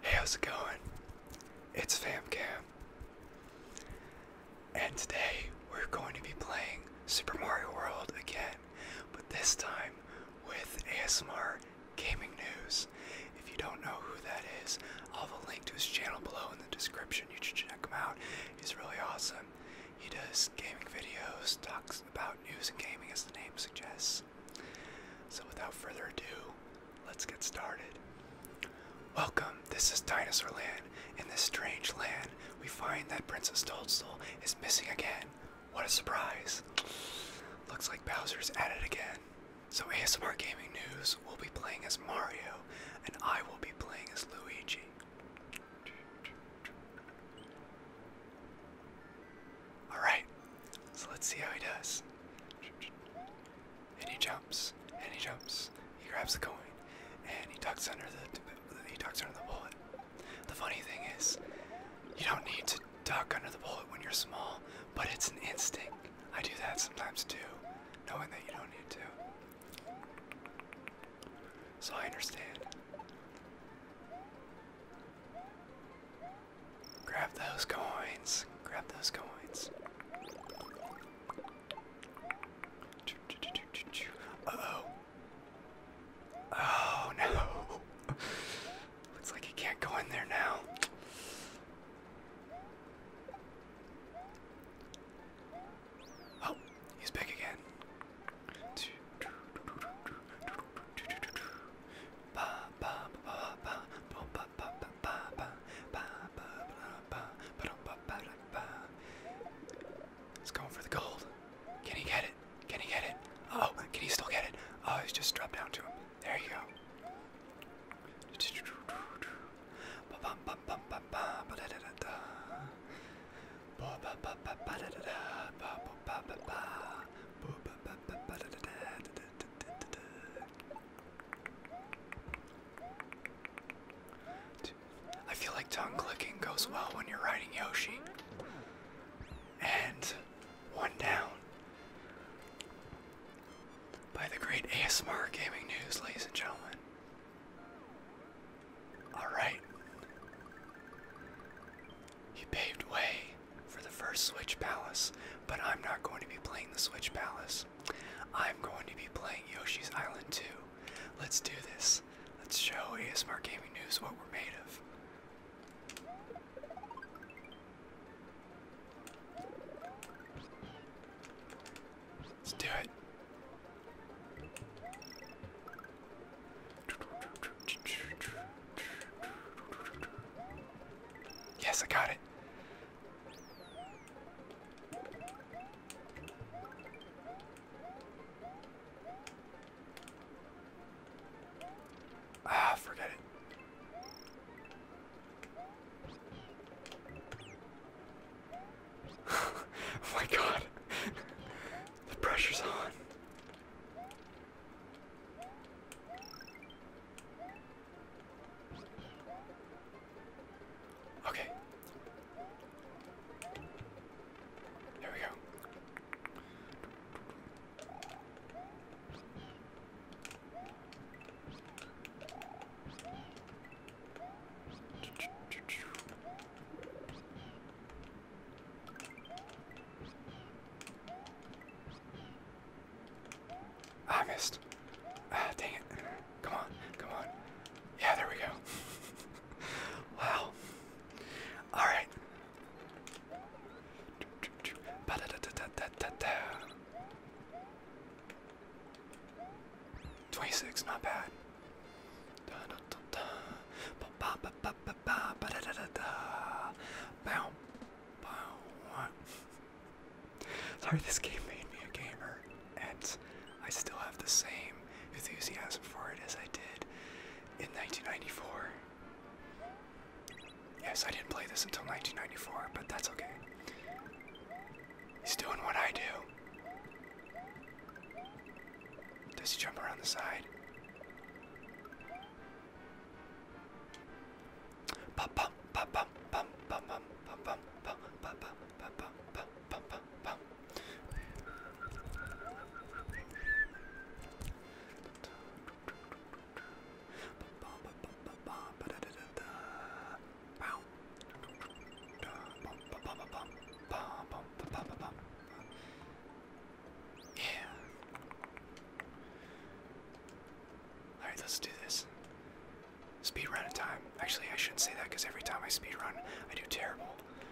Hey, how's it going? It's FamCam. And today we're going to be playing Super Mario World again, but this time with ASMR Gaming News. If you don't know who that is, I'll have a link to his channel below in the description. You should check him out. He's really awesome. He does gaming videos, talks about news and gaming as the name suggests. So without further ado, let's get started. Welcome, this is Dinosaur Land. In this strange land, we find that Princess Toadstool is missing again. What a surprise. Looks like Bowser's at it again. So, ASMR Gaming News will be playing as Mario, and I will be playing as Luigi. Alright, so let's see how he does. And he jumps, and he jumps. He grabs the coin, and he tucks under the he tucks under the bullet. The funny thing is, you don't need to duck under the bullet when you're small, but it's an instinct. I do that sometimes too, knowing that you don't need to. So I understand. Grab those coins. Grab those coins. Uh oh. Oh no. Looks like he can't go in there now. Oh, he's back again. He's going for the gold. Can he get it? Can he get it? Oh, can he still get it? Oh, he's just dropped down to him. There you go. I feel like tongue clicking goes well when you're riding Yoshi and one down. By the great ASMR Gaming News, ladies and gentlemen. Alright. He paved way for the first Switch Palace, but I'm not going to be playing the Switch Palace. I'm going to be playing Yoshi's Island 2. Let's do this. Let's show ASMR Gaming News what we're made of. Let's do it. Yes, I got it. Ah, forget it. oh my god. the pressure's on. Okay. There we go. Ah, I missed. Ah, dang it. Come on, come on. Yeah, there we go. wow. Alright, 26, not bad. Sorry, this game made me a gamer, and I still have the same enthusiasm for it as I did in 1994. Yes, I didn't play this until 1994, but that's okay. He's doing what I do. Does he jump around the side? Pop, pop, pop, pop, pop, pop, pop, pop, pop, pop, pop, pop, pop, pop, pop, yeah. Alright, let's do this. Speed run time. Actually, I shouldn't say that because every time I speed run, I do terrible.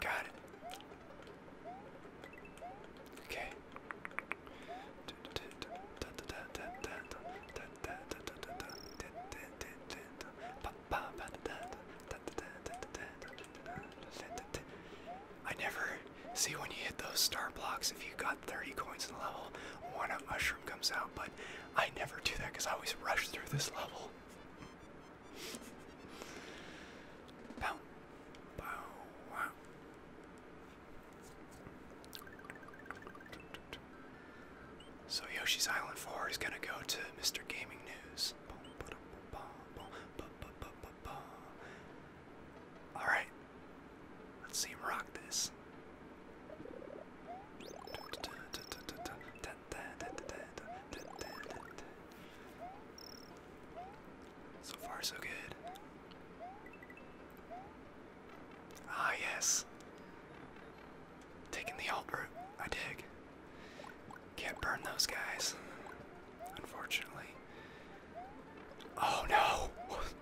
Got it. Okay. I never see when you hit those star blocks if you got 30 coins in the level, one mushroom comes out, but I never do that because I always rush through this level. So Yoshi's Island 4 is gonna go to Mr. Gaming News. Alright. Let's see him rock this. So far, so good. Ah, yes. Taking the alt route, I dig. Can't burn those guys, unfortunately. Oh no!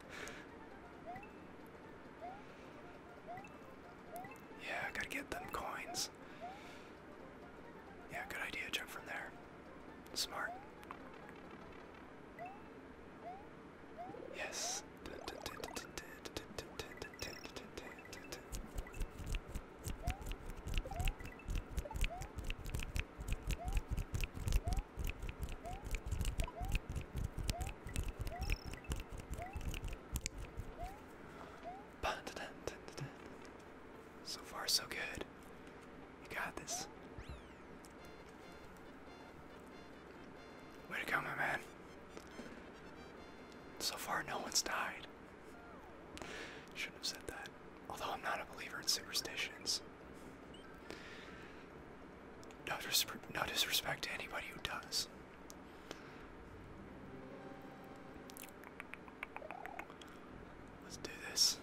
Yeah, gotta get them coins. Yeah, good idea. Jump from there. Smart. Yes. So far, so good. You got this. Way to go, my man. So far, no one's died. Shouldn't have said that. Although I'm not a believer in superstitions. No, no disrespect to anybody who does. Let's do this.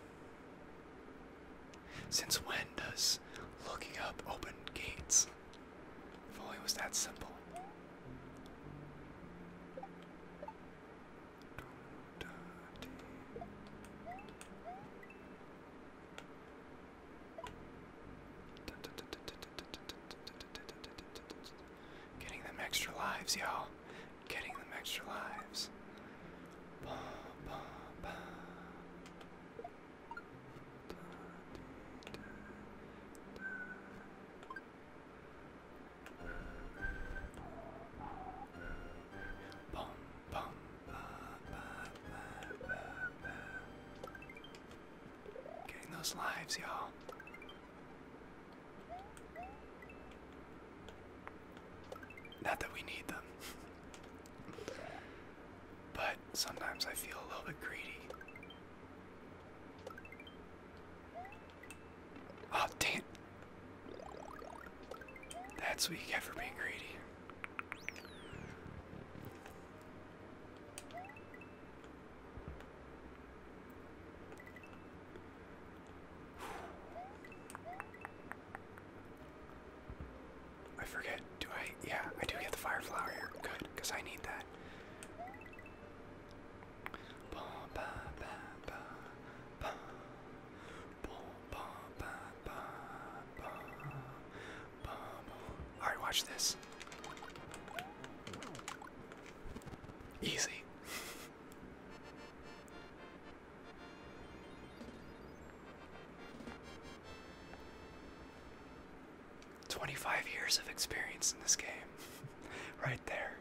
Since when does looking up open gates? If only it was that simple. Getting them extra lives, y'all. Getting them extra lives. Getting those lives, y'all. Not that we need them. but sometimes I feel a little bit greedy. Oh, dang That's what you being greedy. I forget. Do I? Yeah, I do get the fireflower here. Good, because I need that. Alright, watch this. Easy. Twenty-five years of experience in this game. right there.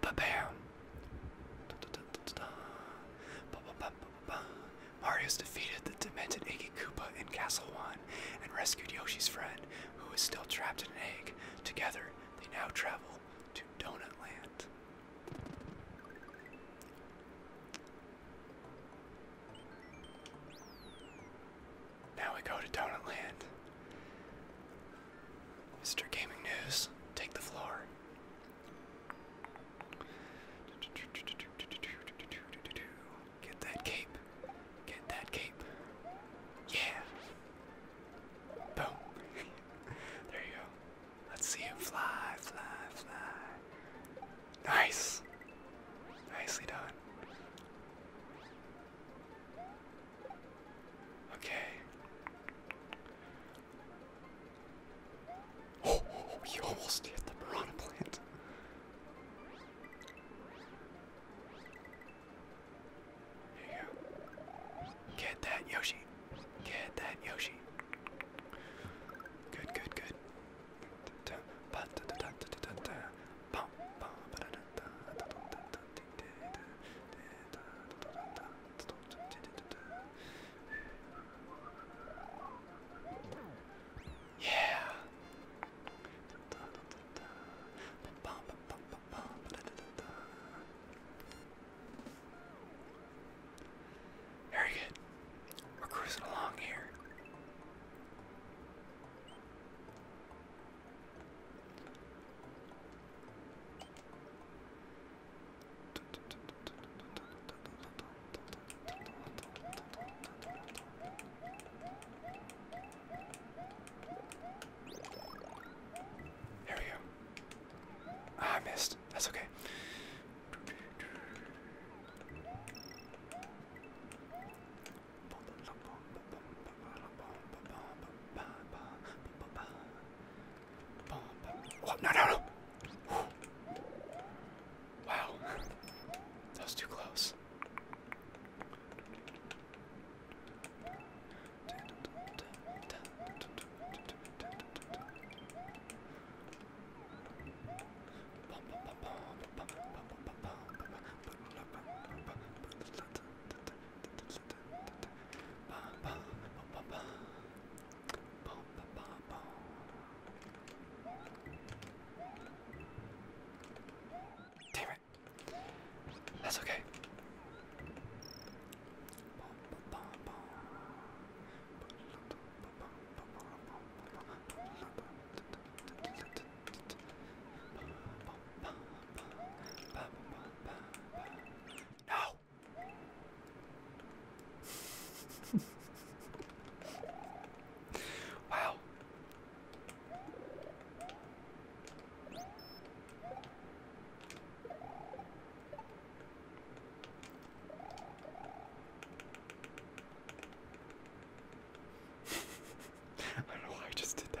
Ba bam. Da, da, da, da, da. Ba, ba, ba, ba, Mario's defeated the demented Iggy Koopa in Castle One and rescued Yoshi's friend, who is still trapped in an egg. Together, they now travel to Donut Land. Now we go to Donut Land. Mr. Gaming News, take the floor. Get that cape. Get that cape. Yeah. Boom. there you go. Let's see him fly, fly, fly. Nice. Nicely done. Okay. Oh, oh, oh, you almost hit the piranha plant. There you go. Get that Yoshi. Get that Yoshi. Good, good, good. Yeah. Very good. We're cruising along here. Here we go. Ah, I missed. That's okay. Oh, no, no, no. Whew. Wow. That was too close. Boom, ba, ba, boom. Damn it. That's okay. No! wow. I don't know why I just did that.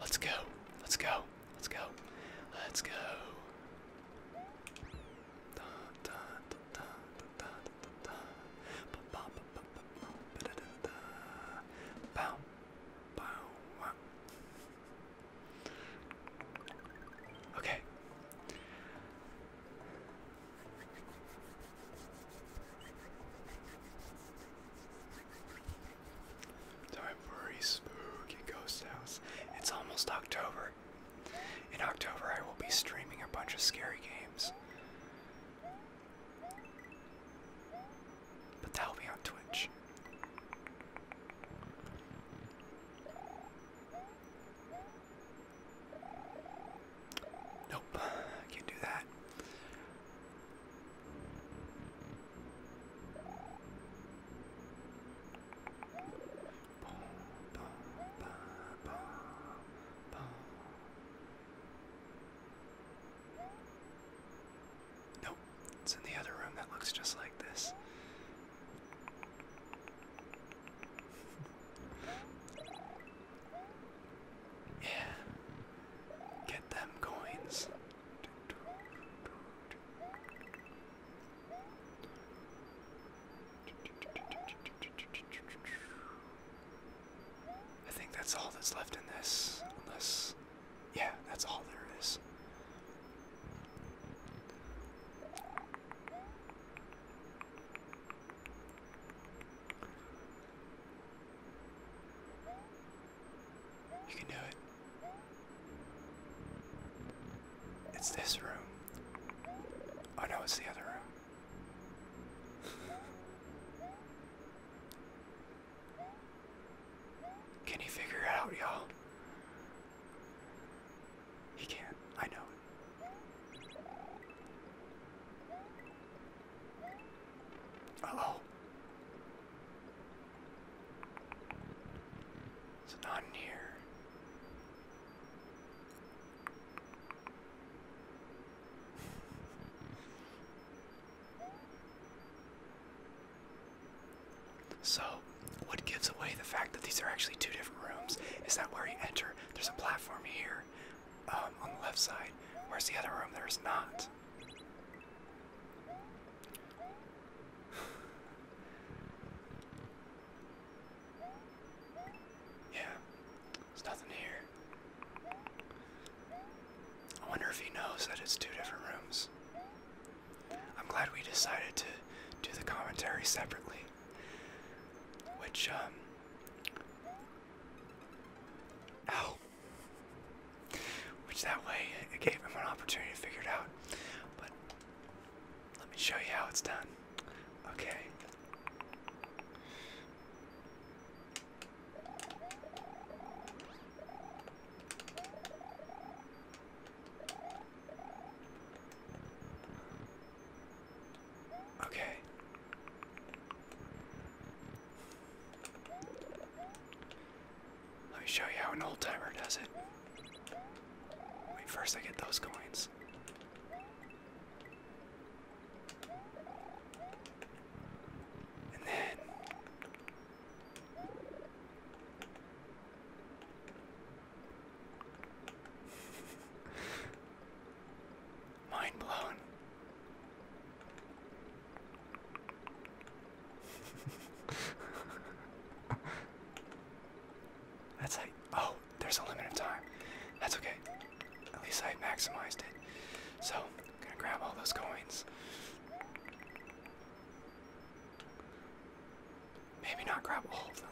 Let's go. Let's go. Let's go. Let's go. Okay. Time for a spooky ghost house. It's almost October. In October, I will be streaming a bunch of scary games. But that'll be on Twitch. Nope, can't do that. Nope, it's in the other room that looks just like this. Yeah. Get them coins. I think that's all that's left in this. Unless. Yeah, that's all there is. You can do it. It's this room. Oh no, it's the other room. can he figure it out, y'all? He can't. I know uh It's not here. So, what gives away the fact that these are actually two different rooms is that where you enter, there's a platform here um, on the left side, where's the other room? There's not. yeah, there's nothing here. I wonder if he knows that it's two different rooms. I'm glad we decided to do the commentary separately. Which, um. Which that way it gave him an opportunity to figure it out. But let me show you how it's done. Okay. Okay. Let me show you how an old timer does it. Wait, first I get those coins. And then. Mind blown. That's like, oh, there's a limit of time. That's okay. At least I maximized it. So, I'm gonna grab all those coins. Maybe not grab all of them.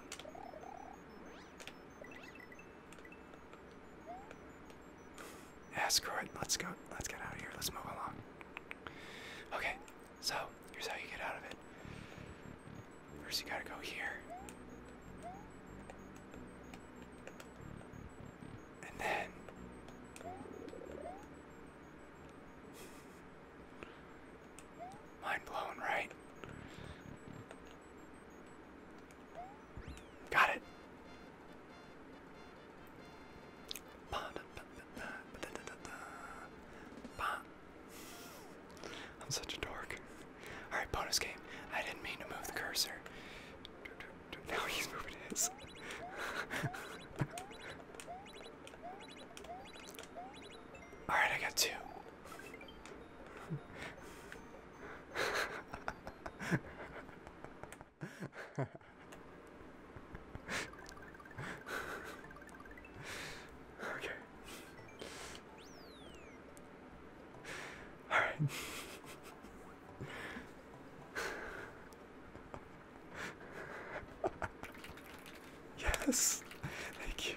Yeah, screw it. Let's go. Let's get out of here. Let's move along. Okay, so here's how you get out of it. First, you gotta go here. And then. Mind blown, right? Got it. I'm such a dork. Alright, bonus game. I didn't mean to move the cursor. Now he's moving his. Alright, I got two okay. All right. yes. Thank you.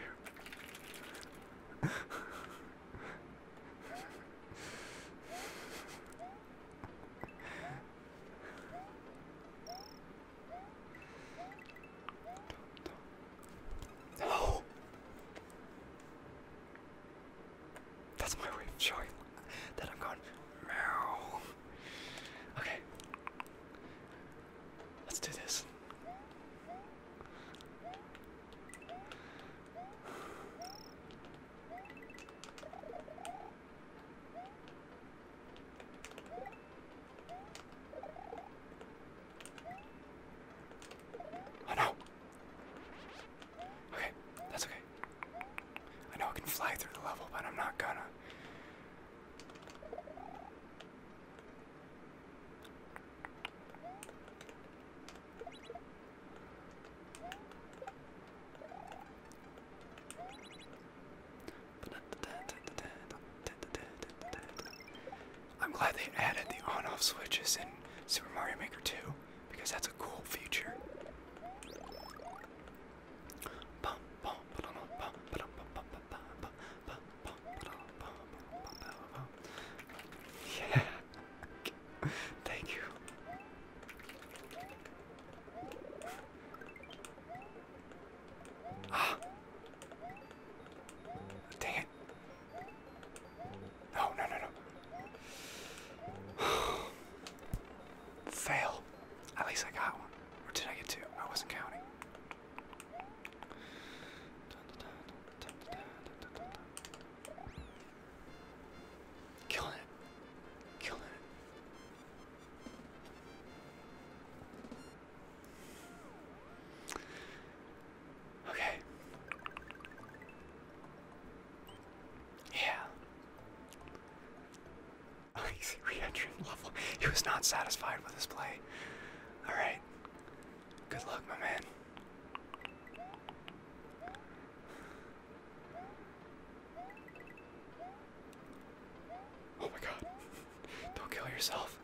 No! That's my way of showing that I'm gone. Meow. Okay. Let's do this. Oh no. Okay, that's okay. I know I can fly through the level, but I'm not gonna. I'm glad they added the on-off switches in Super Mario Maker 2 because that's a cool feature. Yeah. Thank you. Ah. Dang it. No, no, no, no. Fail. At least I got one. Or did I get two? I wasn't counting. Kill it. Kill it. Okay. Yeah. He's re level. He was not satisfied with his play. Alright. Good luck, my man. Oh my god. Don't kill yourself.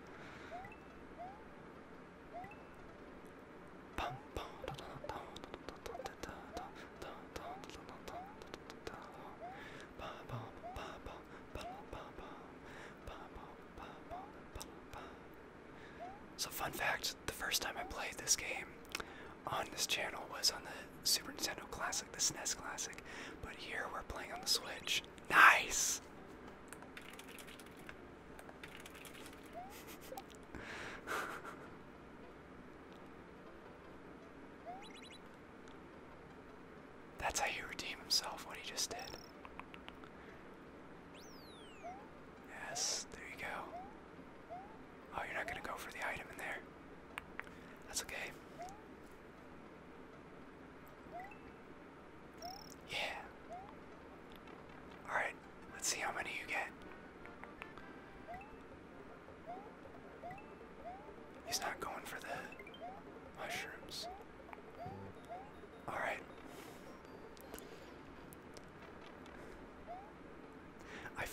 So, fun fact the first time I played this game on this channel was on the Super Nintendo Classic, the SNES Classic, but here we're playing on the Switch. Nice! That's how you redeem himself, what he just did. Yes, there you go. Oh, you're not gonna go for the item in there. That's okay. Yeah. Alright, let's see how many you get. He's not going for the mushrooms. Alright. I,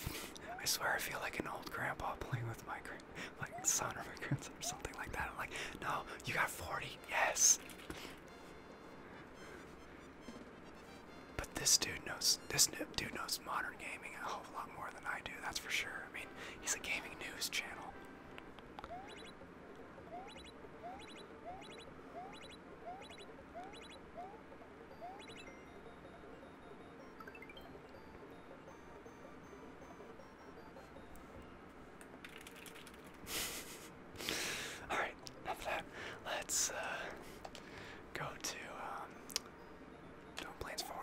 I swear I feel like an old grandpa playing with my grand, like son or my grandson or something like that. I'm like, no, you got 40, yes. But this dude knows this dude knows modern gaming a whole lot more than I do. That's for sure. I mean, he's a gaming news channel. All right, enough of that. Let's uh, go to um, Dome Plains 4.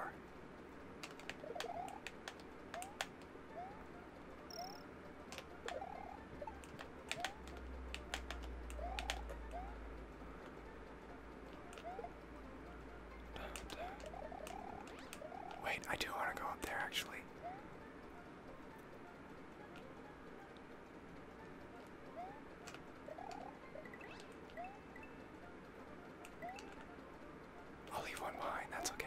Wait, I do want to go up there actually. I'll leave one behind, that's okay.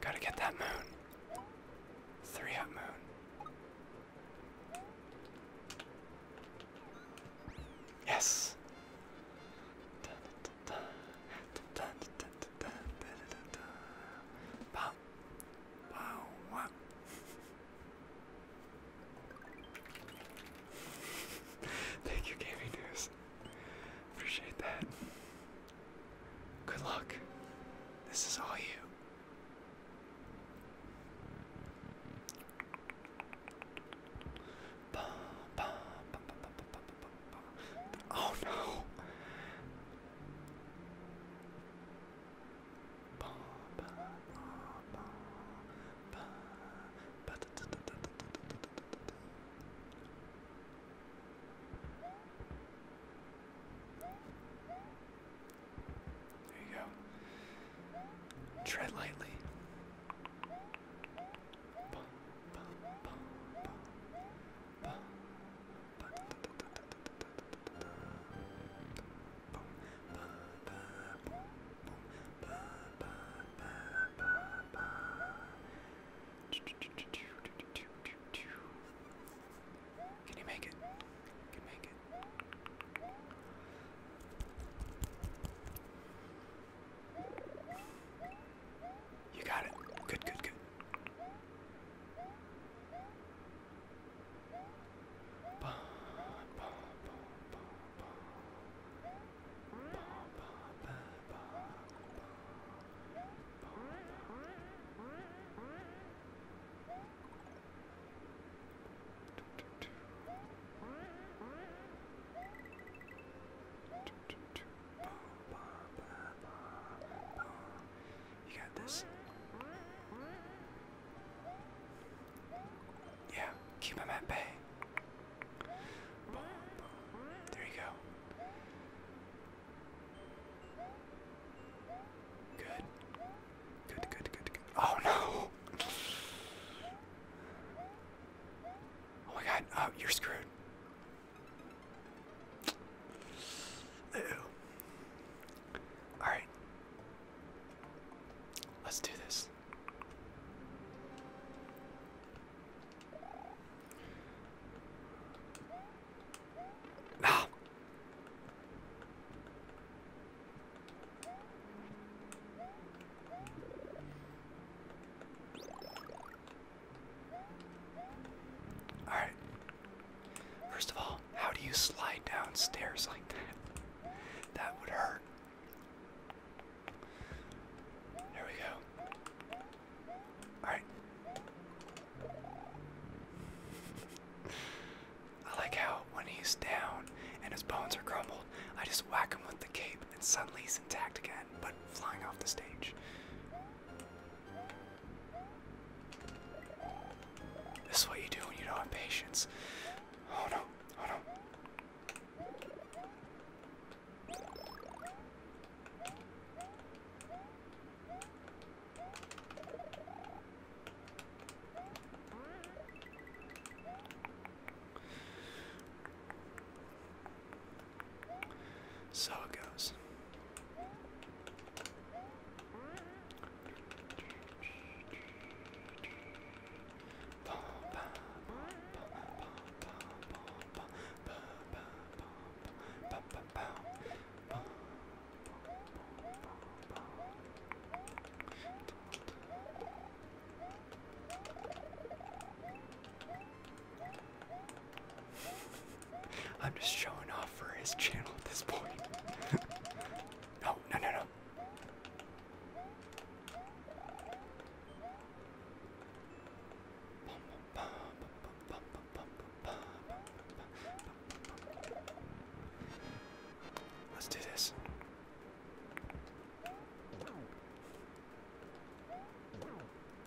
Gotta get that moon. Three up moon. Yes. Thank you, Gaming News. Appreciate that. Good luck. This is all you. Oh no. There you go. Tread lightly. Can you make it? Can you make it? You got it. Good, good, good. Ba, ba, ba, ba, ba. You got this. Yeah, keep him at bay. There you go. Good. Good, good, good, Oh no! Oh my god, oh, you're screwed. Alright. Let's do this. Ah. All right. First of all, how do you slide downstairs like that? That would hurt. There we go. Alright. I like how when he's down and his bones are crumbled, I just whack him with the cape and suddenly he's intact again, but flying off the stage. This is what you do when you don't have patience. Oh no, oh no. So it goes. I'm just showing off for his channel at this point. no, no, no, no. Let's do this.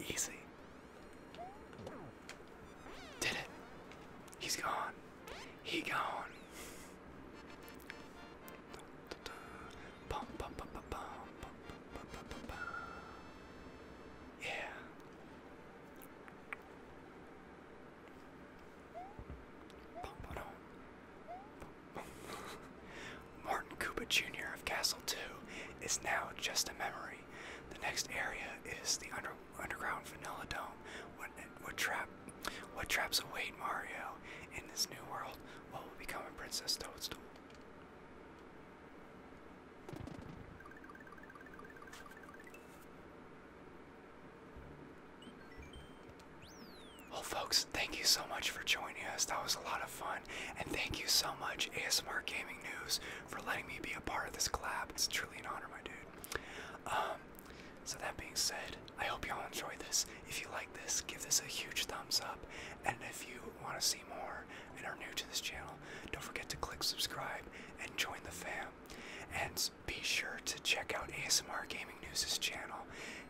Easy. Did it. He's gone. He gone. Yeah. Martin Cooper Jr. of Castle 2 is now just a memory. The next area is the under underground vanilla dome. What, what, trap, what traps await Mario in this new world? What become of Princess Toadstool? Well, oh, folks, thank you so much for joining us. That was a lot of fun. And thank you so much, ASMR Gaming News, for letting me be a part of this collab. It's truly an honor, my dude. Um, so, that being said, I hope y'all enjoy this. If you like this, give this a huge thumbs up. And if you want to see more and are new to this channel, don't forget to click subscribe and join the fam. And be sure to check out ASMR Gaming News's channel.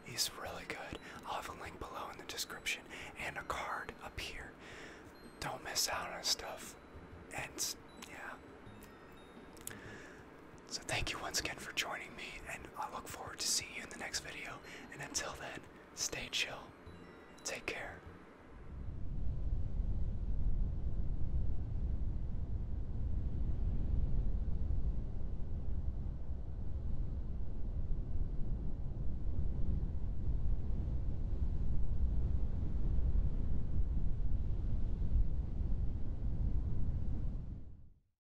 He's really good. I'll have a link below in the description and a card up here. Don't miss out on stuff. And yeah. So thank you once again for joining me, and I look forward to seeing you in the next video. And until then, stay chill. Take care.